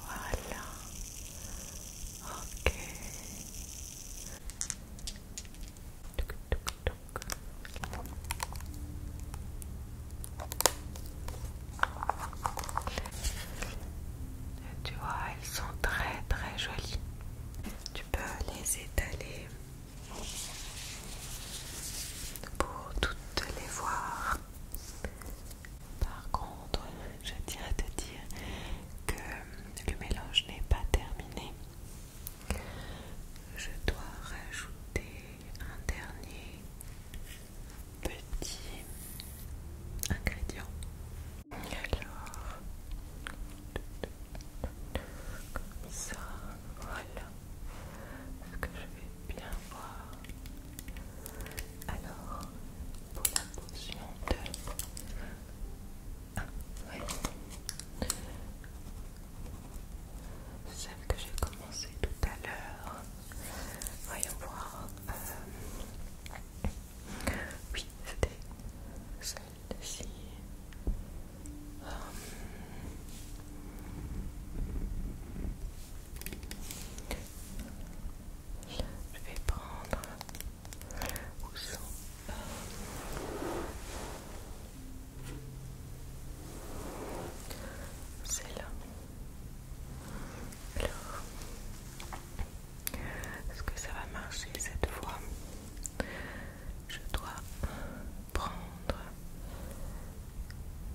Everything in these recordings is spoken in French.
Voilà. Ok. tu vois, elles sont très très jolies. Tu peux les étaler pour toutes les voir par contre, je tiens à te dire que le mélange n'est pas terminé. Je dois rajouter un dernier petit ingrédient. Alors, comme ça, voilà. Est-ce que je vais bien voir alors, pour la potion de... Ah, Celle que j'ai commencé tout à l'heure. Voyons voir. Euh, oui, c'était celle-ci. Euh, je vais prendre où sont euh, celle-là. Alors, est-ce que ça va marcher cette fois Je dois prendre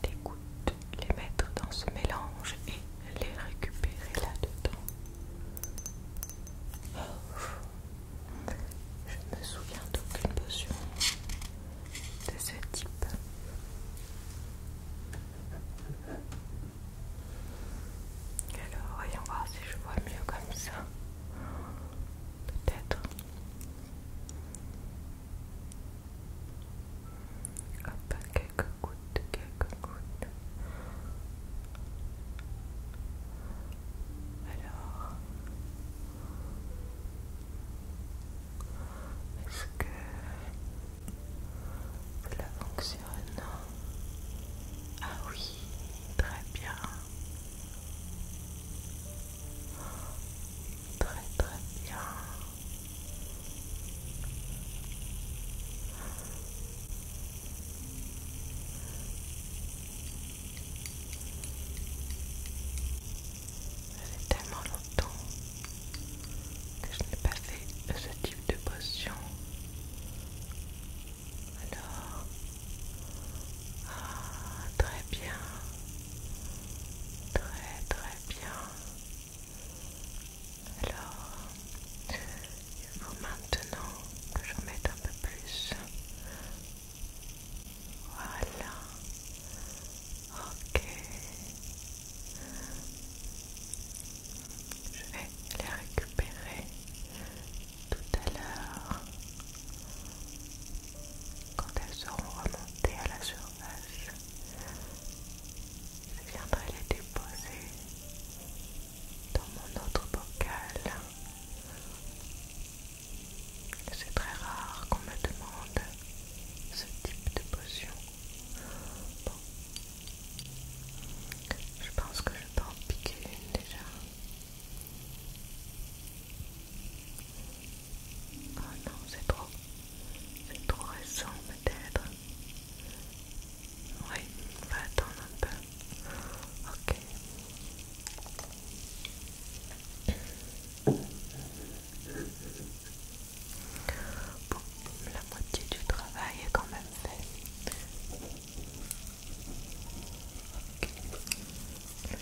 des gouttes les mettre dans ce mélange et les récupérer là-dedans. Je oh, Je me souviens d'aucune potion de ce type. Alors, voyons voir si je vois mieux comme ça. Peut-être quelques gouttes, quelques gouttes. Alors, est-ce que cela fonctionne Ah oui, très bien. Très très bien. Ça tellement longtemps que je n'ai pas fait ce type de potion. Alors, ah, très bien, très très bien. Alors, il faut maintenant que j'en mette un peu plus. Voilà. Ok. Je vais les récupérer tout à l'heure quand elles seront remontées à la surface. Je viendrai les déposer dans mon autre bocal. C'est très rare qu'on me demande ce type de potion. Je pense que je peux en piquer une déjà. Oh non, c'est trop. C'est trop récent peut-être. Oui, on va attendre un peu. Ok. Bon, la moitié du travail est quand même fait. Ok.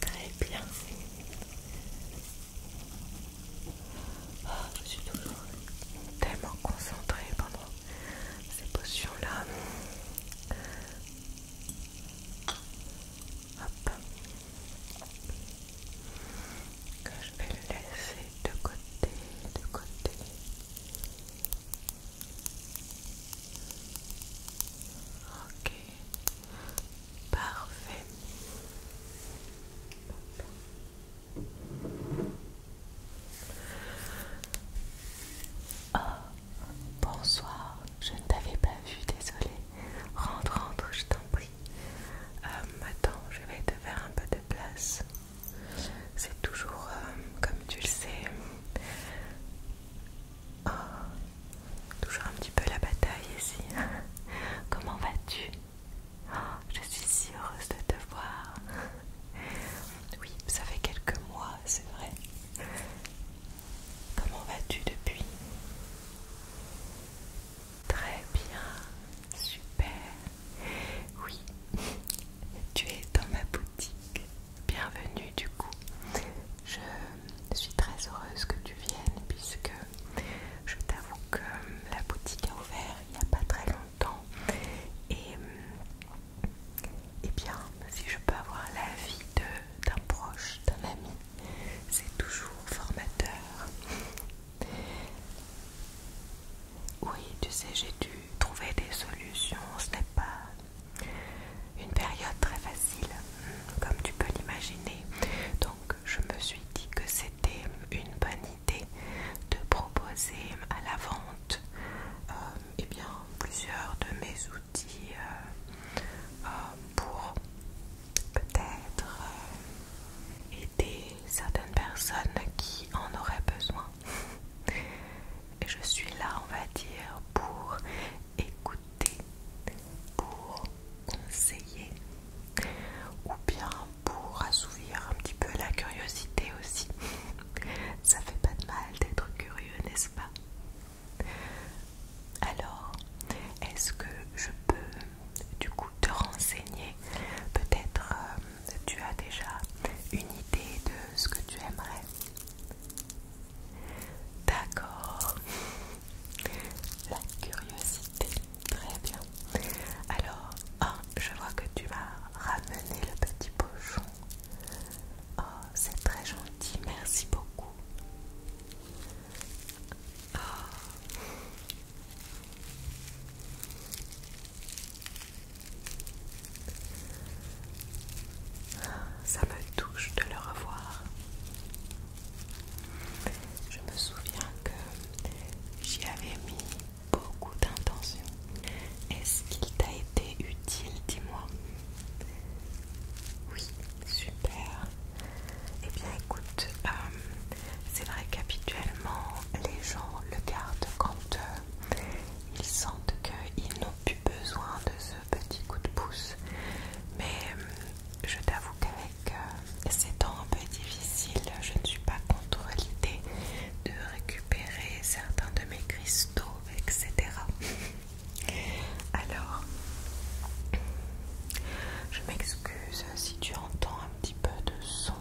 Très bien je suis toujours tellement concentrée pendant ces potions-là. Hop. Que je vais le laisser de côté, de côté. Ok. Parfait. Oh, bonsoir, je ne t'avais pas vu, désolé Rentre, rentre, je t'en prie. Euh, attends, je vais te faire un peu de place. C'est toujours, euh, comme tu le sais, oh, toujours un petit peu la bataille ici. Comment vas-tu Oh, je suis si heureuse de te voir. Oui, ça fait quelques mois, c'est vrai. Comment vas-tu depuis Très bien, super. Oui, tu es dans ma boutique. Bienvenue du coup. Je suis très heureuse que tu viennes puisque je t'avoue que la boutique a ouvert il n'y a pas très longtemps temps. Et, et euh, eh bien, si je peux avoir l'avis d'un proche, d'un ami, c'est toujours formateur. Oui, tu sais, j'ai dû trouver des solutions. Ce n'est pas une période très facile, comme tu peux l'imaginer. Donc, je me suis dit que c'était c'était une bonne idée de proposer à la vente euh, eh bien, plusieurs de mes outils euh, euh, pour peut-être aider certaines personnes qui en auraient besoin. je suis là, on va dire, pour écouter, pour conseiller, ou bien pour assouvir un petit peu la curiosité aussi. Ça fait pas de mal d'être curieux, n'est-ce pas Alors, est-ce que je peux du coup te renseigner Peut-être euh, tu as déjà une idée de ce que tu aimerais D'accord. La curiosité. Très bien. Alors, ah, je vois que tu vas ramener le petit pochon. Oh, c'est très gentil, merci beaucoup. Ah, ça me touche de le revoir. Je me souviens que j'y avais mis beaucoup d'intention. Est-ce qu'il t'a été utile, dis-moi Oui, super. Eh bien écoute, euh, c'est vrai qu'habituellement les gens le gardent quand euh, ils sentent qu'ils n'ont plus besoin de ce petit coup de pouce. Mais euh, je t'avoue qu'avec c'est un peu difficile, je ne suis pas contre l'idée de récupérer certains de mes cristaux, etc. Alors, je m'excuse si tu entends un petit peu de son,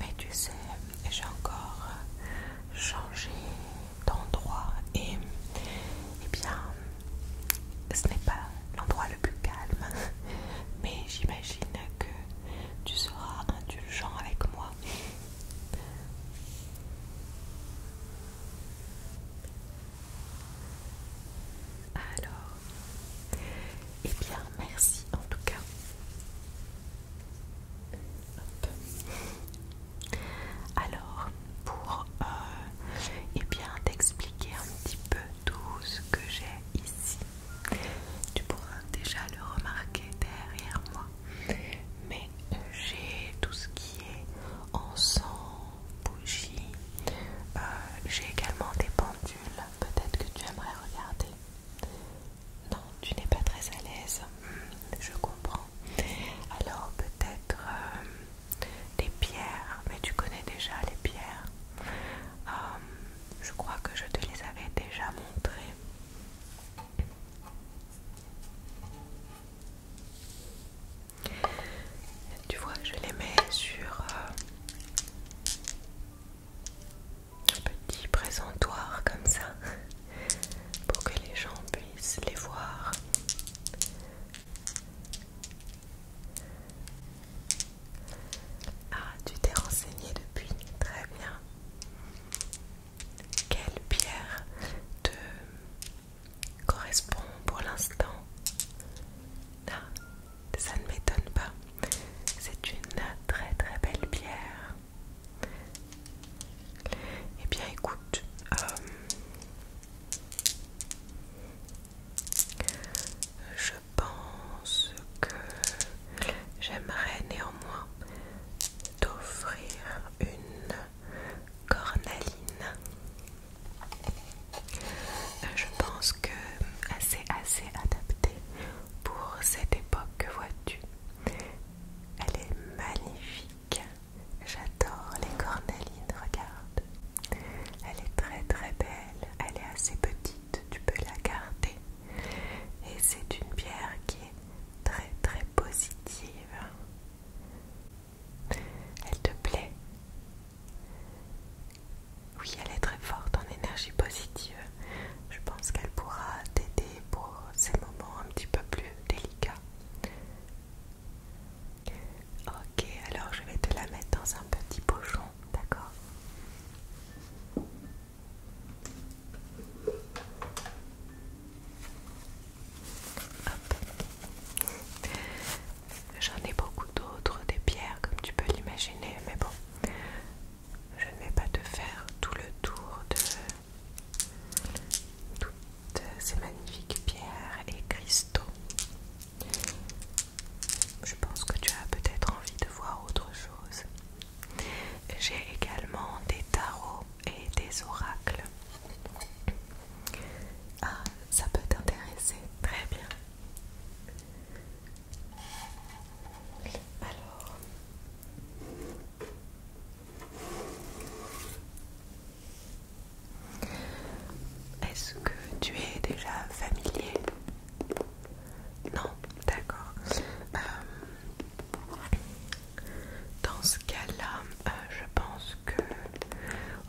mais tu sais, j'ai encore changé d'endroit et, eh bien, ce n'est pas l'endroit le plus calme, mais j'imagine que tu seras indulgent avec moi. Alors, et eh bien, merci en tout cas. Alors, pour et euh, eh bien t'expliquer un petit peu tout ce que j'ai ici, tu pourras déjà le remarquer derrière moi. Mais j'ai tout ce qui est encens, bougie. Euh, j'ai également des pendules. Peut-être que tu aimerais regarder. Non, tu n'es pas très à l'aise. Hmm, je comprends. Alors peut-être des euh, pierres. Mais tu connais déjà les pierres. Euh, je crois que je te les avais déjà montrés. Tu vois, je les mets sur euh, un petit présentoir comme ça pour que les gens puissent les voir. Ah, tu t'es renseigné depuis Très bien. Quelle pierre te correspond pour l'instant ah, ça ne m'étonne pas. C'est une très très belle pierre. Eh bien écoute, euh, je je pense que j'aimerais néanmoins t'offrir une cornaline. Euh, je pense que c'est assez adapté pour cette époque, Que vois-tu. Elle est magnifique. J'adore les cornalines, regarde. Elle est très très belle. Elle est assez petite, tu peux la garder. Et c'est une pierre qui est très très positive. Elle te plaît Oui, elle est très forte en énergie positive. Je pense qu'elle pourra t'aider pour ces moments un petit peu plus délicats. Ok, alors je vais te la mettre dans un petit pochon, d'accord J'en ai beaucoup d'autres, des pierres comme tu peux l'imaginer, mais bon, je ne vais pas te faire tout le tour de toutes ces magnifiques pierres et cristaux. Je pense que tu as peut-être envie de voir autre chose. J'ai également des tarots et des oracles. Ah, ça peut t'intéresser. Très bien. Alors... Est-ce que tu es déjà familier non, d'accord. Euh, dans ce cas-là, euh, je pense que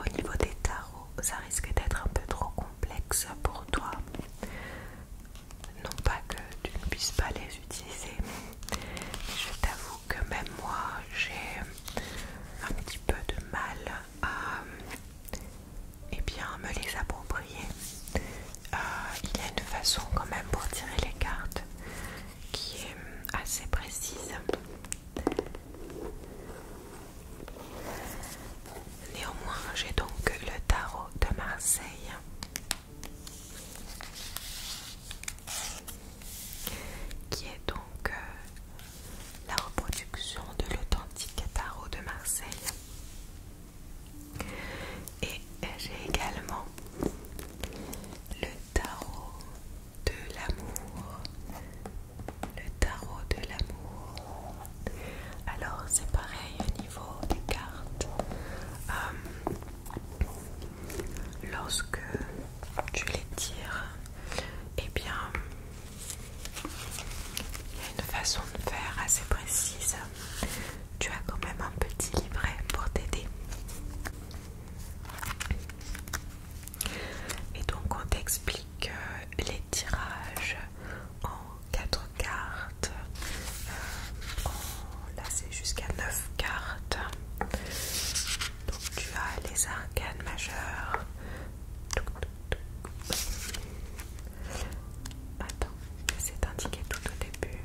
au niveau des tarots, ça risque d'être un peu trop complexe pour toi. Non pas que tu ne puisses pas les utiliser, je t'avoue que même moi, j'ai un petit peu de mal à et eh bien, me les approprier. Euh, il y a une façon quand même pour tirer les cartes qui est euh, assez précise. Néanmoins, j'ai donc le tarot de Marseille. Qui est donc euh, la reproduction de l'authentique tarot de Marseille. Et j'ai également le tarot de l'amour. Le tarot de l'amour. Alors c'est pareil au niveau des cartes. Euh, lorsque tu les tires, eh bien, il y a une façon de faire assez précise tu as quand même un petit livret pour t'aider. Et donc on t'explique euh, les tirages en 4 cartes. Euh, là c'est jusqu'à 9 cartes. Donc tu as les arcanes majeures. Attends, c'est indiqué tout au début.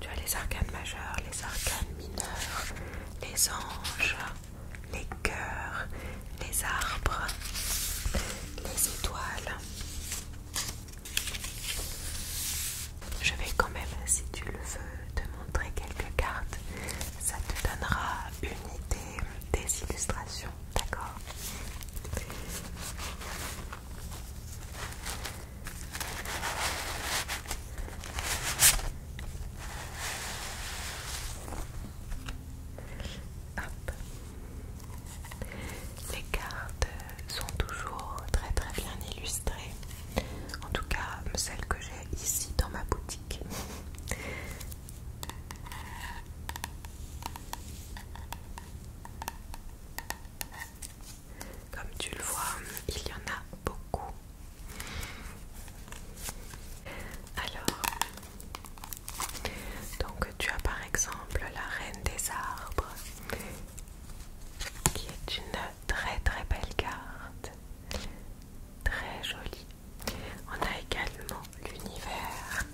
Tu as les arcanes majeurs, les arcanes mineurs, les anges, les cœurs, les arbres, les étoiles. Je vais quand même, si tu le veux, te montrer quelques cartes. Ça te donnera une idée des illustrations. D'accord. Les cartes sont toujours très très bien illustrées. En tout cas, celles que j'ai ici dans ma boutique. Comme tu le vois, il y en a beaucoup. Alors, donc tu as par exemple la Reine des Arbres, qui est une très très belle carte, très jolie. On a également l'univers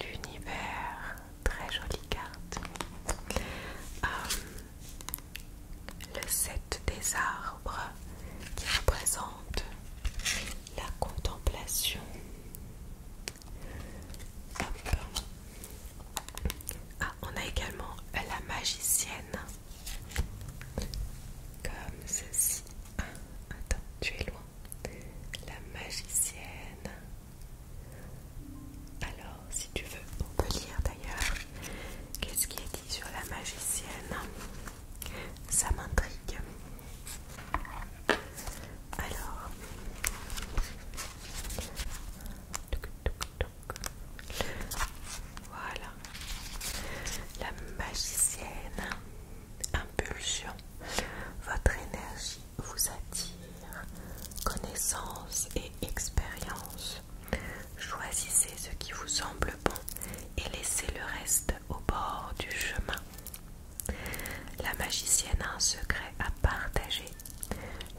l'univers, très jolie carte. Euh, le set des arbres qui représente la contemplation. Ah, on a également la magicienne, comme ceci. Ah, attends, tu es loin la magicienne. Alors, si tu veux, on peut lire d'ailleurs qu'est-ce qui est dit sur la magicienne. Ça m'intrigue. Alors, voilà. La magicienne. Impulsion. Votre énergie vous attire, connaissance et expérience. Choisissez ce qui vous semble bon et laissez le reste au bord du chemin. La magicienne a un secret à partager.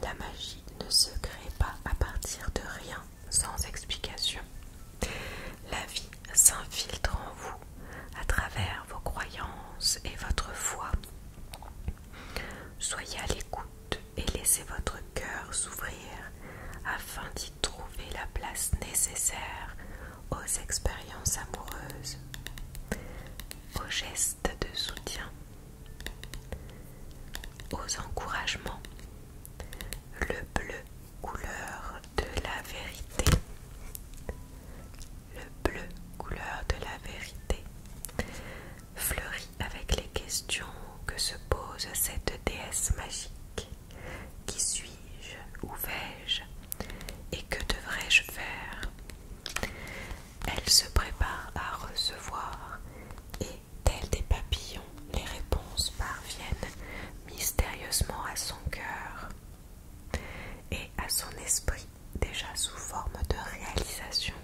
La magie ne se crée pas à partir de rien, sans explication. La vie s'infiltre en vous à travers vos croyances et votre foi. Soyez à l'écoute et laissez votre cœur s'ouvrir afin d'y trouver la place nécessaire aux expériences amoureuses, aux gestes de soutien, aux encouragements. Le bleu, couleur de la vérité, le bleu couleur de la vérité, fleurit avec les questions que se pose cette déesse magique. Qui suis-je ou vais-je Et que devrais-je faire Elle se prépare à recevoir et, tels des papillons, les réponses parviennent mystérieusement à son cœur et à son esprit déjà sous forme de réalisation.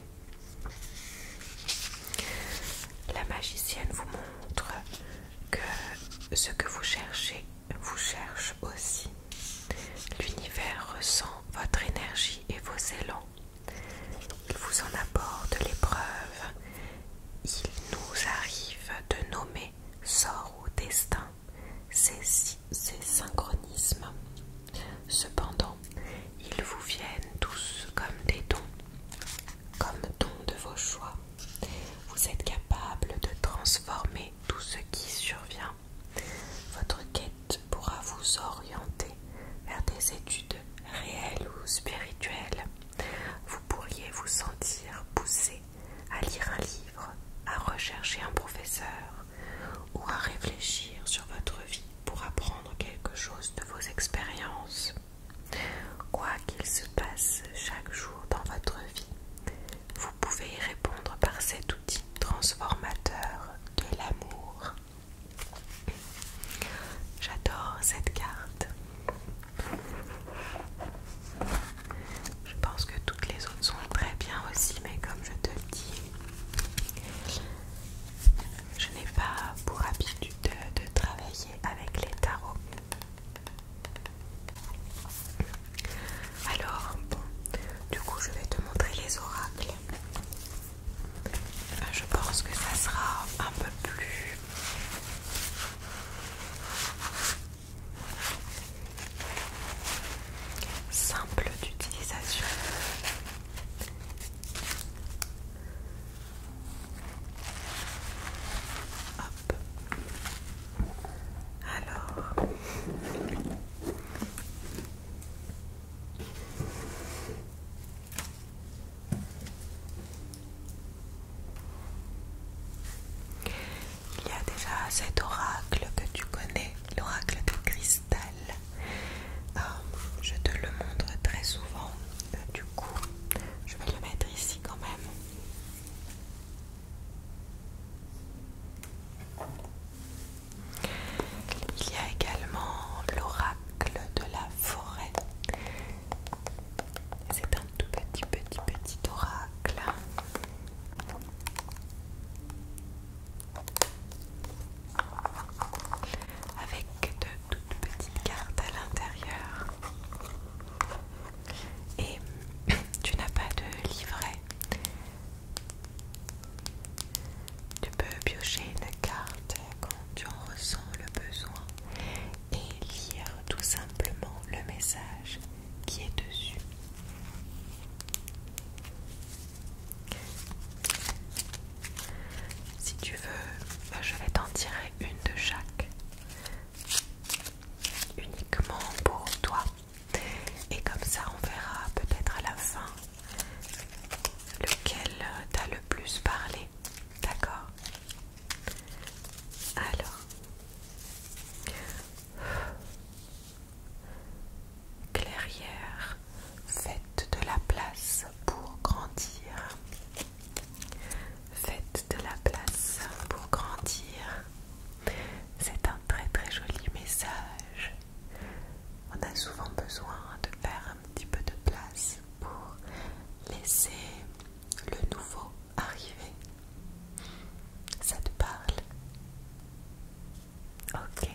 La magicienne vous montre que ce que vous cherchez vous cherche aussi. L'univers ressent votre énergie et vos élans. Il vous en apporte l'épreuve. Il nous arrive de nommer sort ou destin ces, synchronismes. Cependant, ils vous viennent tous comme des dons, comme dons de vos choix. Vous êtes capable de transformer tout ce qui survient. Votre quête pourra vous orienter vers des études réelles ou spirituelles. Vous pourriez vous sentir poussé à lire un livre, à rechercher un professeur, ou à réfléchir sur votre vie pour apprendre quelque chose de vos expériences. Quoi qu'il se passe chaque jour dans votre vie, vous pouvez y répondre par cet outil transformateur de l'amour. J'adore cette carte. Je pense que toutes les autres sont très bien aussi, mais comme je te dis, je n'ai pas pour habitude de, de travailler avec les tarots. Alors, bon, du coup, je vais te montrer les oracles. Euh, je pense que ça sera un peu plus Simple d'utilisation. Alors, il y a déjà cet oracle que tu connais, l'oracle de cristal. Euh, je te le montre très souvent, euh, du coup, je vais le mettre ici quand même. Il y a également l'oracle de la forêt. C'est un tout petit, petit, petit oracle avec de toutes petites cartes à l'intérieur et tu n'as pas de livret tu peux piocher une carte quand tu en ressens le besoin et lire tout simplement le message qui est dessus. Si tu veux, bah, je vais t'en tirer une de chaque, uniquement pour toi. Et comme ça, on verra peut-être à la fin lequel t'a le plus parlé. D'accord Alors, Clairière, faites de la place pour grandir. Faites de la place pour grandir. C'est un très très joli message. On a souvent besoin de faire un petit peu de place pour laisser le nouveau arriver. Ça te parle Ok,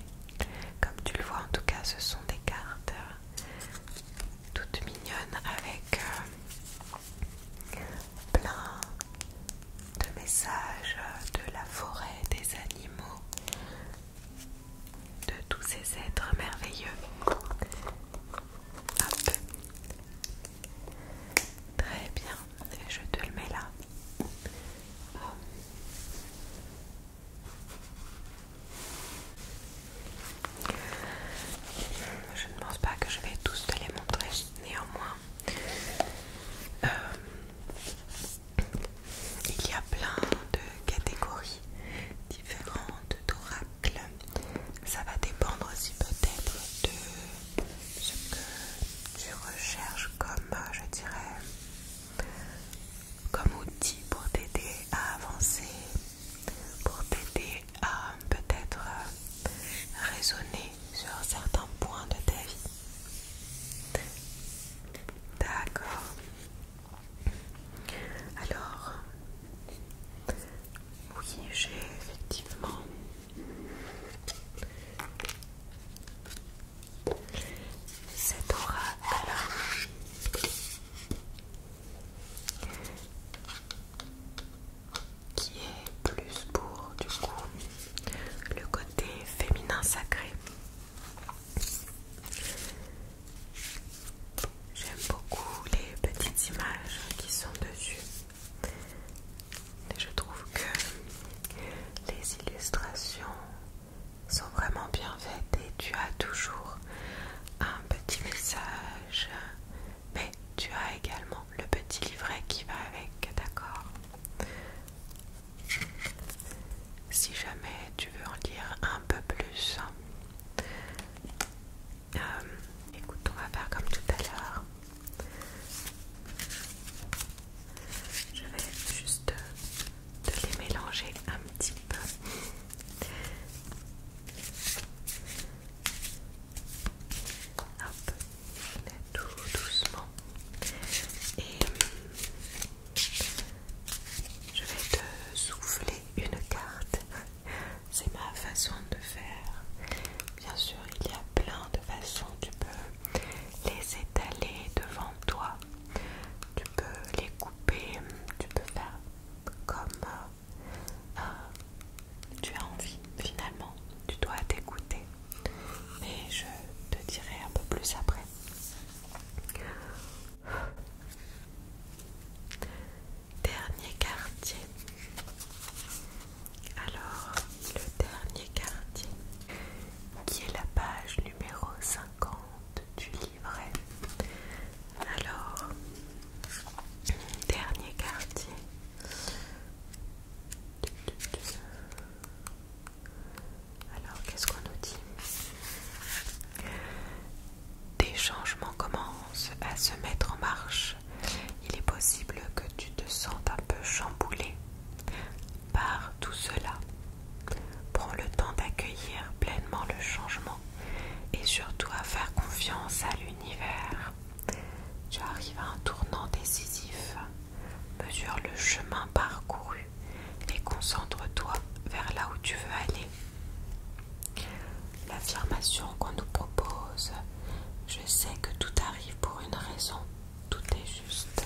comme tu le vois en tout cas ce sont des cartes euh, toutes mignonnes avec euh, plein de messages euh, de la forêt, des animaux, de tous ces êtres merveilleux. Hop. Très bien, je te le mets là. Euh, je ne pense pas que je vais tous te les montrer, néanmoins, euh, il y a plein de catégories différentes d'oracles. Ça va dépendre aussi peut-être de ce que tu recherches comme, euh, je dirais, comme outil pour t'aider à avancer, pour t'aider à peut-être euh, raisonner sur certains points de ta vie. D'accord. Alors, oui, j'ai effectivement cette aura qui est plus pour du coup le côté féminin sacré. J'aime beaucoup les petites images qui sont dessus je trouve que les illustrations sont vraiment bien faites et tu as toujours un petit message. Mais tu as également le petit livret qui va avec, d'accord Si jamais tu veux en lire un peu plus, euh, écoute, on va faire comme tout à l'heure. Je vais juste te les mélanger un petit peu. Hop, tout doucement. Et hum, je vais te souffler une carte. C'est ma façon de faire. Bien sûr, il y a plein de façons. Tu peux les étaler devant toi. Tu peux les couper, tu peux faire comme euh, euh, tu as envie finalement. Tu dois t'écouter. Mais je te dirai un peu plus après. Dernier quartier. Alors, le dernier quartier, qui est la page numéro 50 du livret. Alors, dernier quartier. Alors, qu'est-ce qu'on nous dit Des changements commencent à se mettre en marche. Il est possible que tu te sentes un peu chamboulé, par tout cela. Prends le temps d'accueillir pleinement le changement et surtout à faire confiance à l'univers. Tu arrives à un tournant décisif. Mesure le chemin parcouru et concentre-toi vers là où tu veux aller. L'affirmation qu'on nous propose, je sais que tout arrive pour une raison, tout est juste.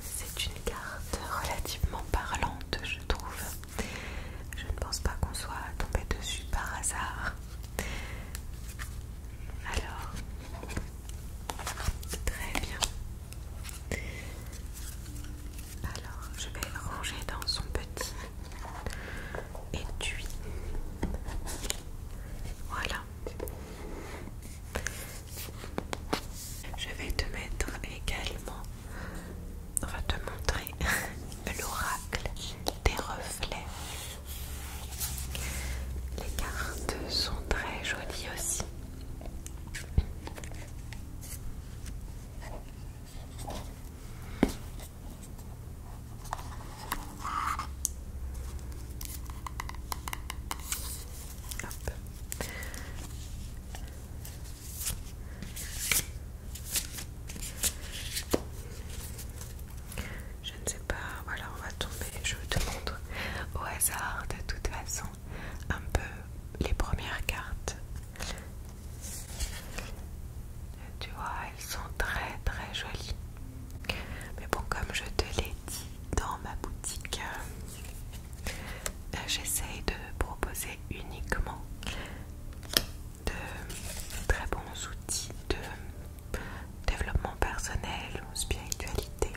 C'est une carte relativement parlante, je trouve. Je ne pense pas qu'on soit tombé dessus par hasard. Alors, très bien. Alors, je vais ranger dans son petit étui. Voilà. Je vais te mettre également, on va te montrer l'oracle des reflets. Les cartes sont très jolies aussi. Je ne sais pas, voilà, on va tomber, je te montre au hasard de toute façon un peu les premières cartes. Tu vois, elles sont très très jolies. Mais bon, comme je te l'ai dans ma boutique, j'essaie euh, j'essaye de proposer uniquement de très bons outils de développement personnel ou spiritualité.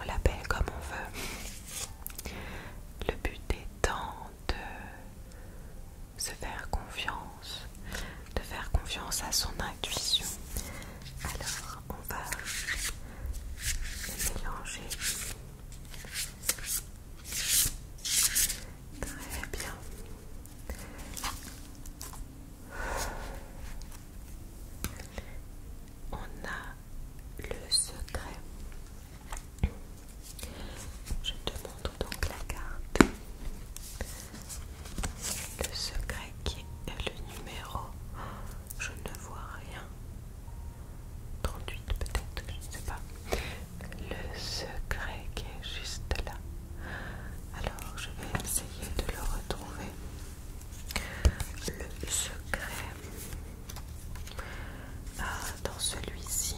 On l'appelle comme on veut. Le but étant de se faire confiance de faire confiance à son intuition. Alors, on va Le mélanger. Très bien. On a le secret. Je te montre donc la carte. Le secret qui est le numéro. Je ne vois rien. 38 peut-être, je ne sais pas. Le secret qui est juste là. Alors je vais essayer de le retrouver. Le secret. Ah, dans celui-ci,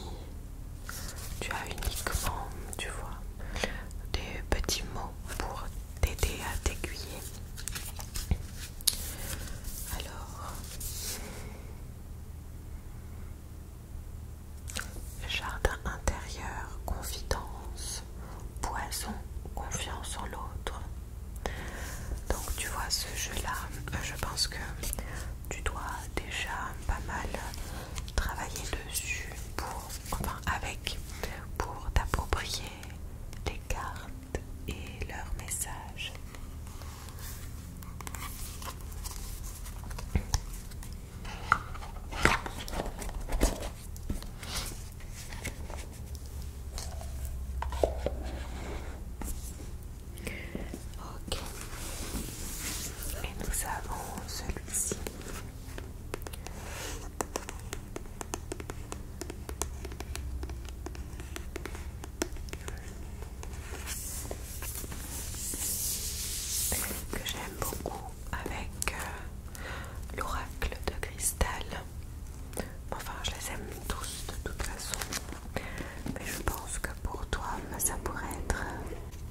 tu as uniquement, tu vois, des petits mots pour t'aider à t'aiguiller. Alors, jardin intérieur, confidence, poison, confiance en l'autre. Donc tu vois ce jeu-là, euh, je pense que tu dois déjà pas mal travailler dessus pour enfin avec, pour t'approprier les cartes et leurs messages. Ok. Et nous avons celui-ci que j'aime beaucoup avec euh, l'oracle de cristal. Enfin, je les aime tous de toute façon, mais je pense que pour toi, ça pourrait être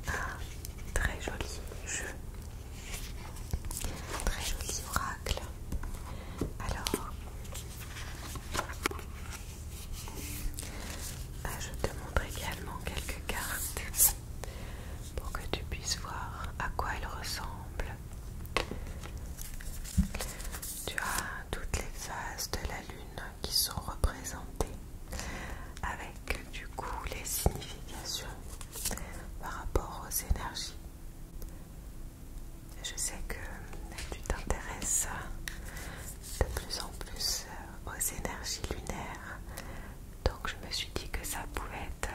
un très joli jeu Très joli oracle. Alors, ah, je te montre également quelques cartes pour que tu puisses voir à quoi elles ressemblent. Tu as toutes les phases de la lune qui sont représentées avec du coup les significations par rapport aux énergies. Je sais que euh, tu t'intéresses de plus en plus euh, aux énergies lunaires, donc je me suis dit que ça pouvait être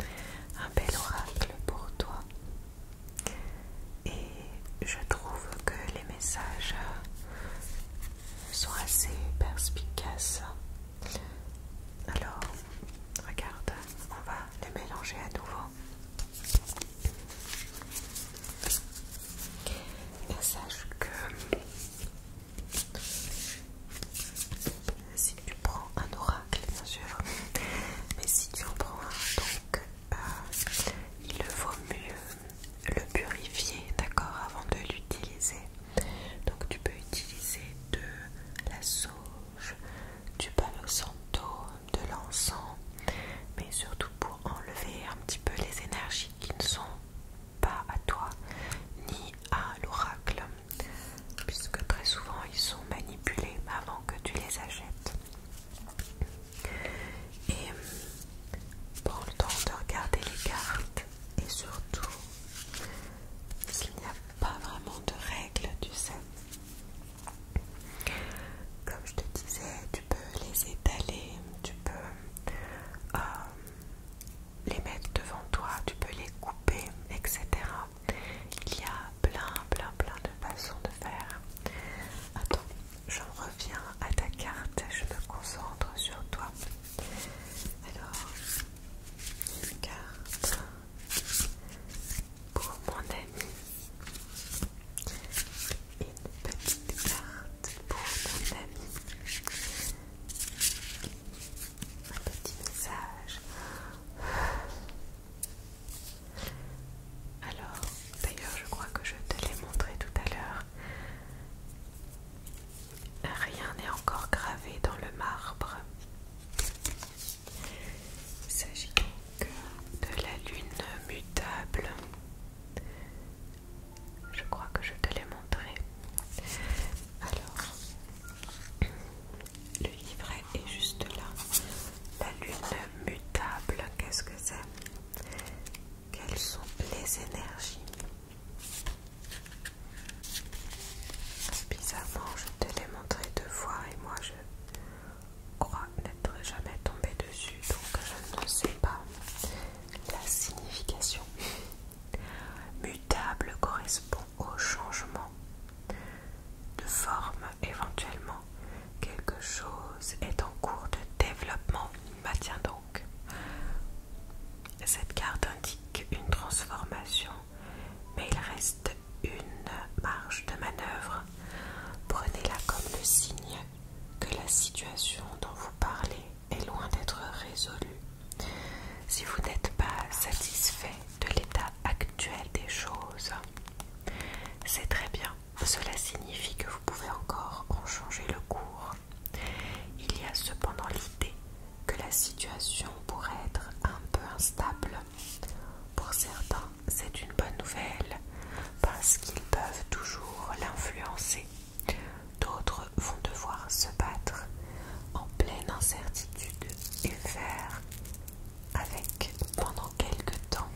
euh, un bel oracle pour toi. Et je trouve que les messages sont assez perspicaces. Alors, Regarde, on va le mélanger à nouveau. sache que si tu prends un oracle, bien sûr, mais si tu en prends un, donc euh, il vaut mieux le purifier, d'accord, avant de l'utiliser. Donc tu peux utiliser de la sauce tu du palo santo, de l'encens, mais surtout pour enlever un petit peu les énergies qui ne sont pas à toi ni à l'oracle, puisque très souvent ils sont manipulés avant que tu les achètes. Et hum, prends le temps de regarder les cartes et surtout s'il n'y a pas vraiment de règles, tu sais. Comme je te disais, tu peux les étaler, tu peux euh, les mettre devant toi, tu peux les couper, etc. Il y a plein, plein, plein de façons de faire. Attends, je reviens à ta carte, je me concentre sur toi. Alors, une carte pour mon ami une petite carte pour mon ami un petit message alors d'ailleurs je crois que je te l'ai montré tout à l'heure Rien n'est encore gravé dans le marbre. Il s'agit donc de la lune mutable. Je crois que je te l'ai montré. Alors, le livret est juste là. La lune mutable, qu'est-ce que c'est Quelles sont les énergies Bizarrement, je te l'ai montré deux fois et moi je crois n'être jamais tombé dessus, donc je ne sais pas la signification. Mutable correspond au changement de forme éventuellement. Quelque chose est en cours de développement. Bah tiens donc. Cette carte indique une transformation, mais il reste une marge de manœuvre, prenez-la comme le signe que la situation dont vous parlez est loin d'être résolue. Si vous n'êtes pas satisfait de l'état actuel des choses, c'est très bien. Cela signifie que vous pouvez encore en changer le cours. Il y a cependant l'idée que la situation pourrait être un peu instable pour certains, c'est une bonne nouvelle parce qu'ils peuvent toujours l'influencer. D'autres vont devoir se battre en pleine incertitude et faire avec pendant quelque temps.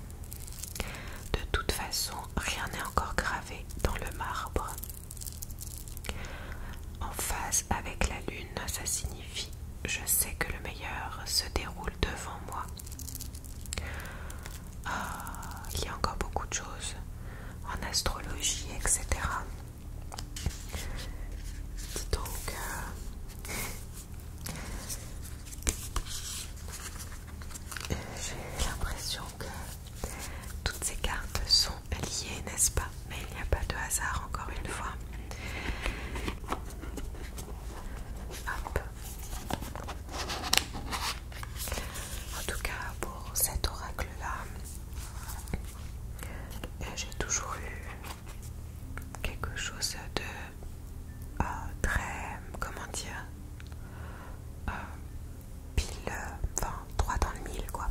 De toute façon, rien n'est encore gravé dans le marbre. En face avec la Lune, ça signifie je sais que le meilleur se déroule devant moi. Ah, il y a encore beaucoup de choses en astrologie, etc. donc, euh, j'ai l'impression que toutes ces cartes sont liées, n'est-ce pas mais il n'y a pas de hasard, encore une fois. En tout cas, pour cet oracle-là, euh, j'ai toujours eu quelque chose de euh, très, comment dire, euh, pile, enfin, droit dans le mille, quoi.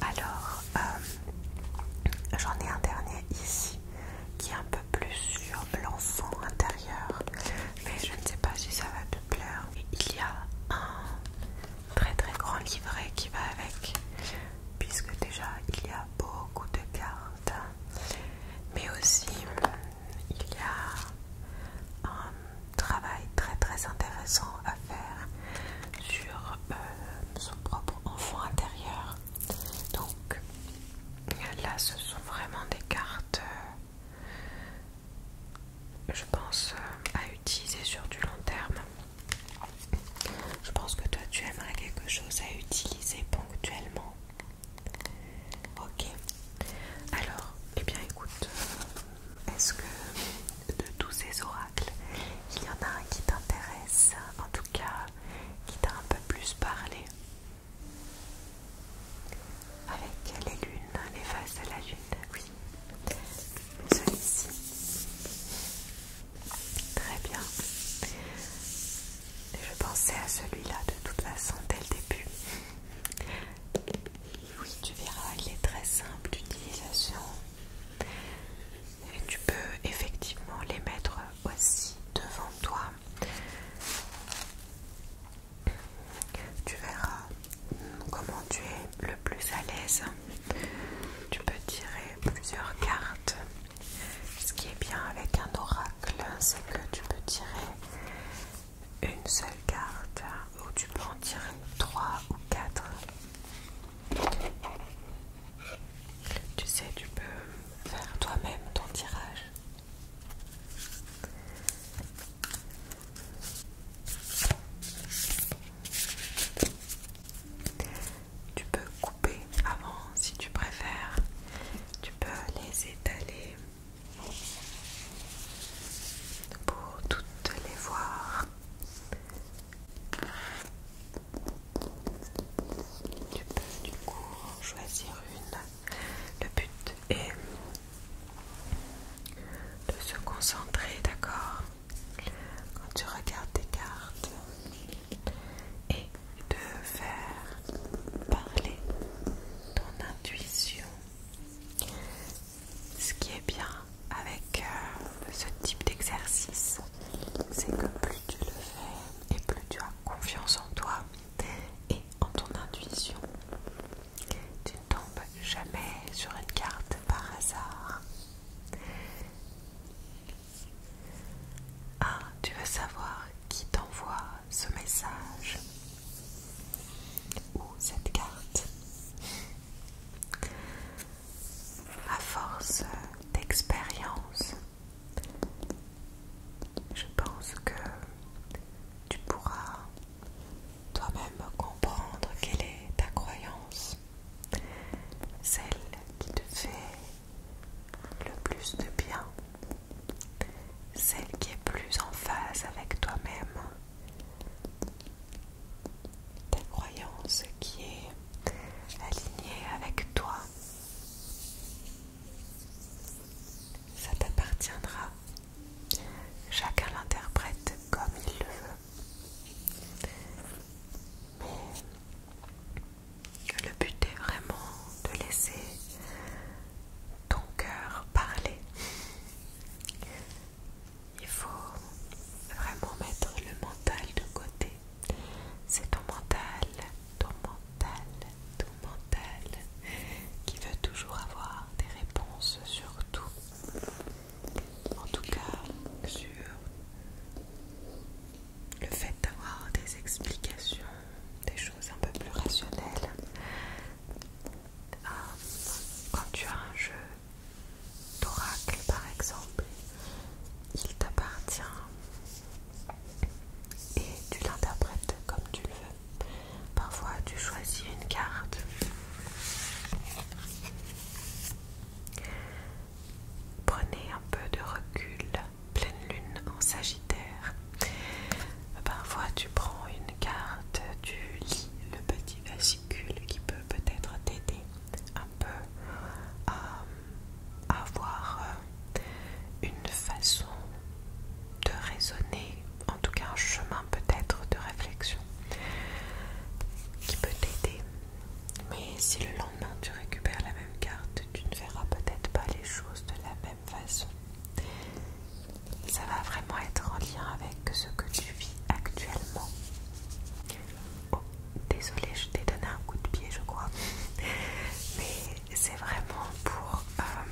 Alors, euh, j'en ai un dernier ici qui est un peu plus sur l'enfant intérieur, mais je ne sais pas si ça va te plaire. Il y a un très très grand livret qui va avec, puisque déjà il y a beaucoup de cartes, mais aussi il y a un travail très très intéressant à faire sur euh, son propre enfant intérieur. Donc là ce sont vraiment des cartes euh, je pense euh, à utiliser sur du long terme. Je pense que toi tu aimerais quelque chose à utiliser ponctuellement. Ok. Alors, eh bien écoute, est-ce que de tous ces oracles, il y en a un qui t'intéresse, en tout cas qui t'a un peu plus parlé Avec les lunes, les faces de la lune, oui. Celui-ci. Très bien. Je pensais à celui-là de toute façon dès le début. Oui, tu verras, il est très simple d'utilisation. Et tu peux effectivement les mettre aussi devant toi. Tu verras comment tu es le plus à l'aise. Tu peux tirer plusieurs cartes. Ce qui est bien avec un oracle, c'est que tu peux tirer une seule carte ou tu peux en tirer 3 ou 4. Tu sais, tu peux faire toi-même ton tirage. Tu peux couper avant si tu préfères. Tu peux les étaler pour toutes les voir. Tu peux du coup choisir une. Le but est de se concentrer, d'accord Quand tu regardes tes cartes et de faire parler ton intuition ce qui est bien avec euh, ce type d'exercice, c'est que plus tu le fais et plus tu as confiance en toi et en ton intuition. Tu ne tombes jamais sur une carte par hasard. Ah, tu veux savoir qui t'envoie ce message ou cette carte à force d'expérience, je pense que tu pourras toi-même comprendre quelle est ta croyance, celle qui te fait le plus de bien, celle qui est plus en phase avec toi-même ta croyance qui est alignée avec toi. Ça t'appartiendra. Chacun l'interprète comme il le veut. le but est vraiment de laisser ton cœur parler il faut vraiment mettre le mental de côté. C'est ton mental, ton mental, ton mental qui veut toujours avoir des réponses sur tout. En tout cas, sur le fait d'avoir des explications, des choses un peu plus rationnelles. Euh, quand tu as un jeu d'oracle par exemple, il t'appartient et tu l'interprètes comme tu le veux. Parfois tu choisis une carte. Prenez un peu de recul, pleine lune en Sagittaire. Parfois tu prends une carte, tu lis le petit qui peut peut-être t'aider un peu à avoir euh, une façon de raisonner, en tout cas un chemin peut-être de réflexion qui peut t'aider. Mais si le lendemain tu récupères la même carte, tu ne verras peut-être pas les choses de la même façon ça va vraiment être en lien avec ce que tu vis actuellement. Oh, désolée, je t'ai donné un coup de pied, je crois. Mais c'est vraiment pour euh,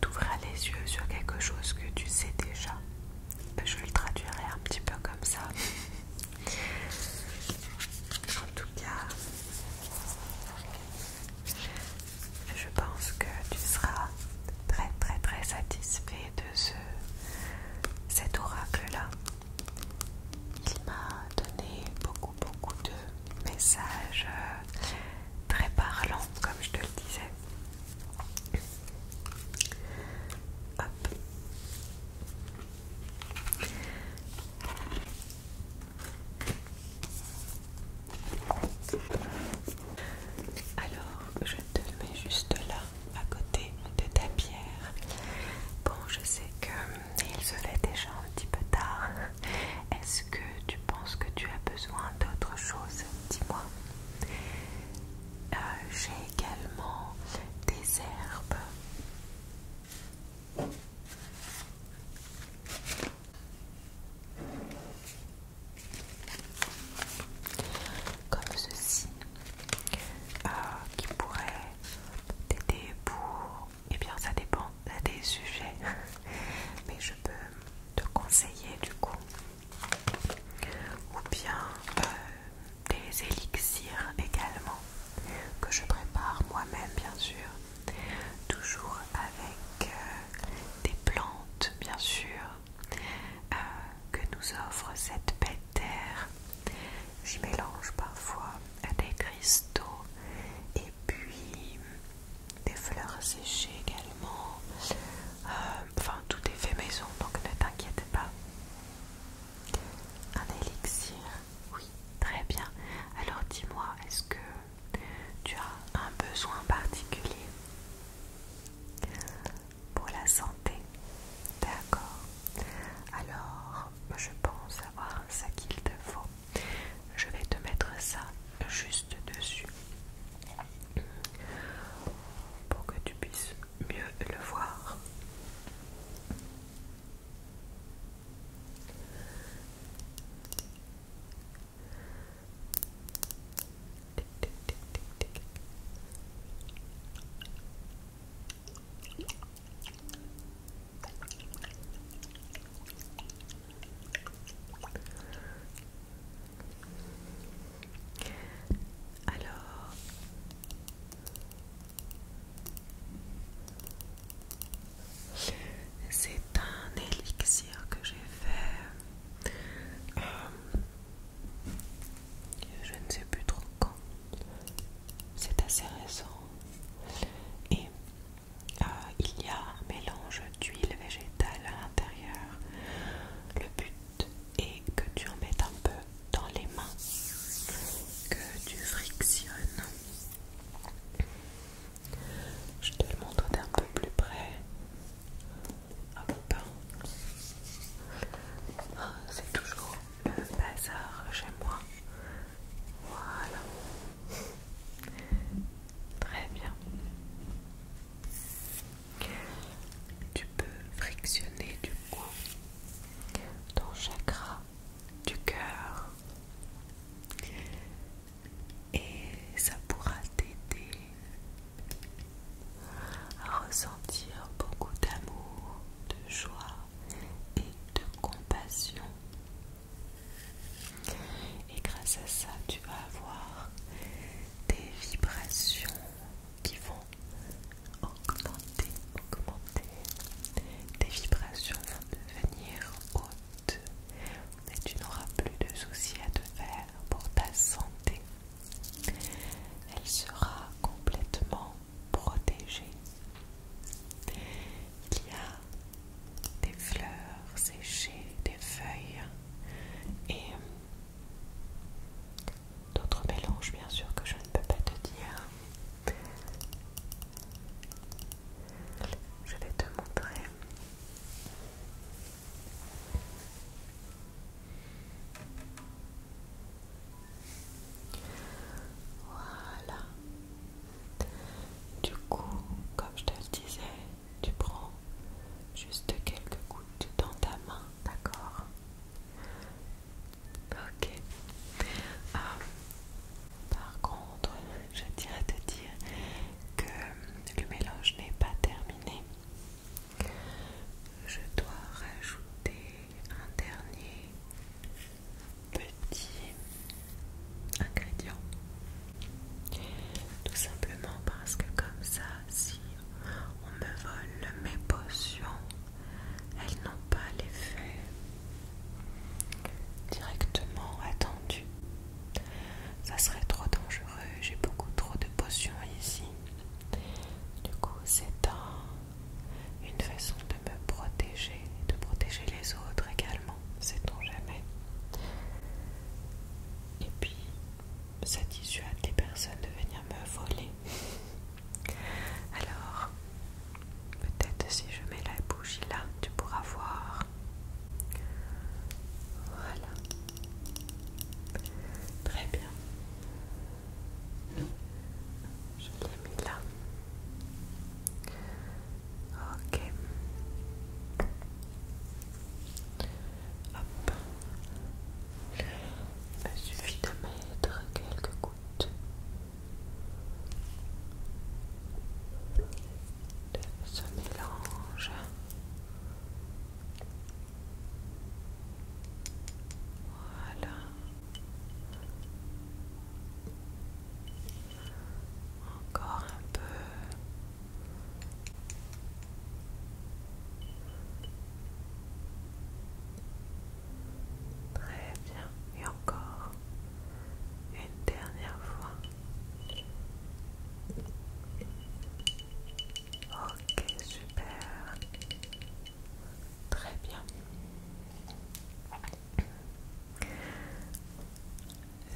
t'ouvrir les yeux sur quelque chose que tu sais déjà. Je le traduirai un petit peu comme ça. En tout cas, je pense que tu seras très très très satisfait de ce cet oracle là qui m'a donné beaucoup beaucoup de messages euh, très parlants comme je te le disais Hop. Alors, je te mets juste là, à côté de ta pierre. Bon, je sais que euh, il se fait déjà un petit peu tard. Est-ce que tu penses que tu as besoin d'autre chose Dis-moi. Euh, j'ai également des herbes comme ceci euh, qui pourrait t'aider pour et eh bien ça dépend des sujets mais je peux te conseiller du coup ou bien euh, des élixirs également que je prépare moi-même bien sûr toujours avec euh, des plantes bien sûr euh, que nous offre cette belle terre. J'y mélange parfois des cristaux et puis des fleurs séchées également. Euh, enfin, tout est fait maison, donc ne t'inquiète pas. Un élixir, oui, très bien. Alors dis-moi, est-ce que tu as un besoin particulier pour la santé, d'accord. Alors, je pense avoir ça qu'il te faut. Je vais te mettre ça juste dessus pour que tu puisses mieux le voir. Alors c'est un élixir que j'ai fait euh, je ne sais plus trop quand. C'est assez récent. Et euh, il y a un mélange d'huile végétale à l'intérieur. Le but est que tu en mettes un peu dans les mains, que tu frictionnes. Je te le montre d'un peu plus près. C'est toujours le bazar chez moi. Voilà. Très bien. Tu peux frictionner du coup ton chakra du cœur et ça pourra t'aider à ressentir beaucoup d'amour, de joie et de compassion. Et grâce à ça, tu vas avoir des vibrations qui vont augmenter, augmenter. Tes vibrations vont devenir hautes mais tu n'auras plus de soucis à te faire pour ta santé. Elle sera complètement protégée. Il y a des fleurs séchées, des feuilles et d'autres mélanges bien sûr que je ne peux pas te dire. Je vais te montrer. Voilà. Du coup, comme je te le disais, tu prends juste quelques gouttes dans ta main, d'accord Ok. Ah, par contre, je dirais te dire que le mélange n'est pas terminé. Je dois rajouter un dernier petit ingrédient. Tout simplement parce que comme ça, si on me vole mes potions, elles n'ont pas l'effet directement attendu. Ça serait trop dangereux, j'ai beaucoup trop de potions ici. Du coup, c'est un, une façon de me protéger, de protéger les autres également, sait-on jamais. Et puis, ça dissuade les personnes de venir me voler. Alors, peut-être si je mets la bougie là, tu pourras voir. Voilà. Très bien. Je l'ai mis là. Ok. Hop. Il suffit de mettre quelques gouttes de ce mélange. Voilà. Encore un peu. Très bien. Et encore une dernière fois. Ok, super. Très bien.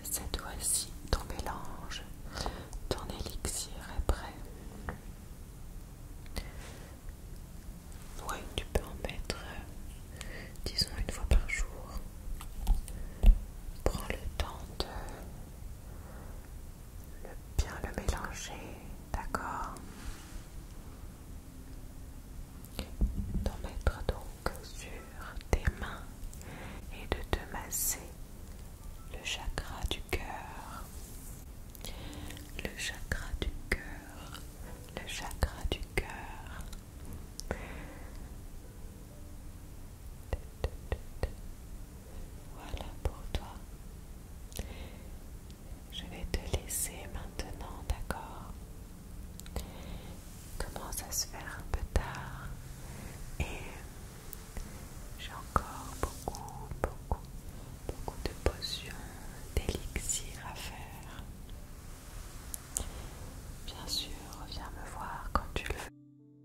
Cette fois-ci, ton mélange, ton élixir est prêt. Oui, tu peux en mettre, euh, disons, une fois par jour. Prends le temps de le bien le mélanger, d'accord D'en mettre donc sur tes mains et de te masser le chakra du cœur. Le chakra du cœur, le chakra du cœur. Voilà pour toi. Je vais te laisser maintenant, d'accord Il commence à se faire un peu tard et j'ai encore beaucoup, beaucoup, beaucoup de potions, d'élixirs à faire. Bien sûr, viens me voir quand tu le veux.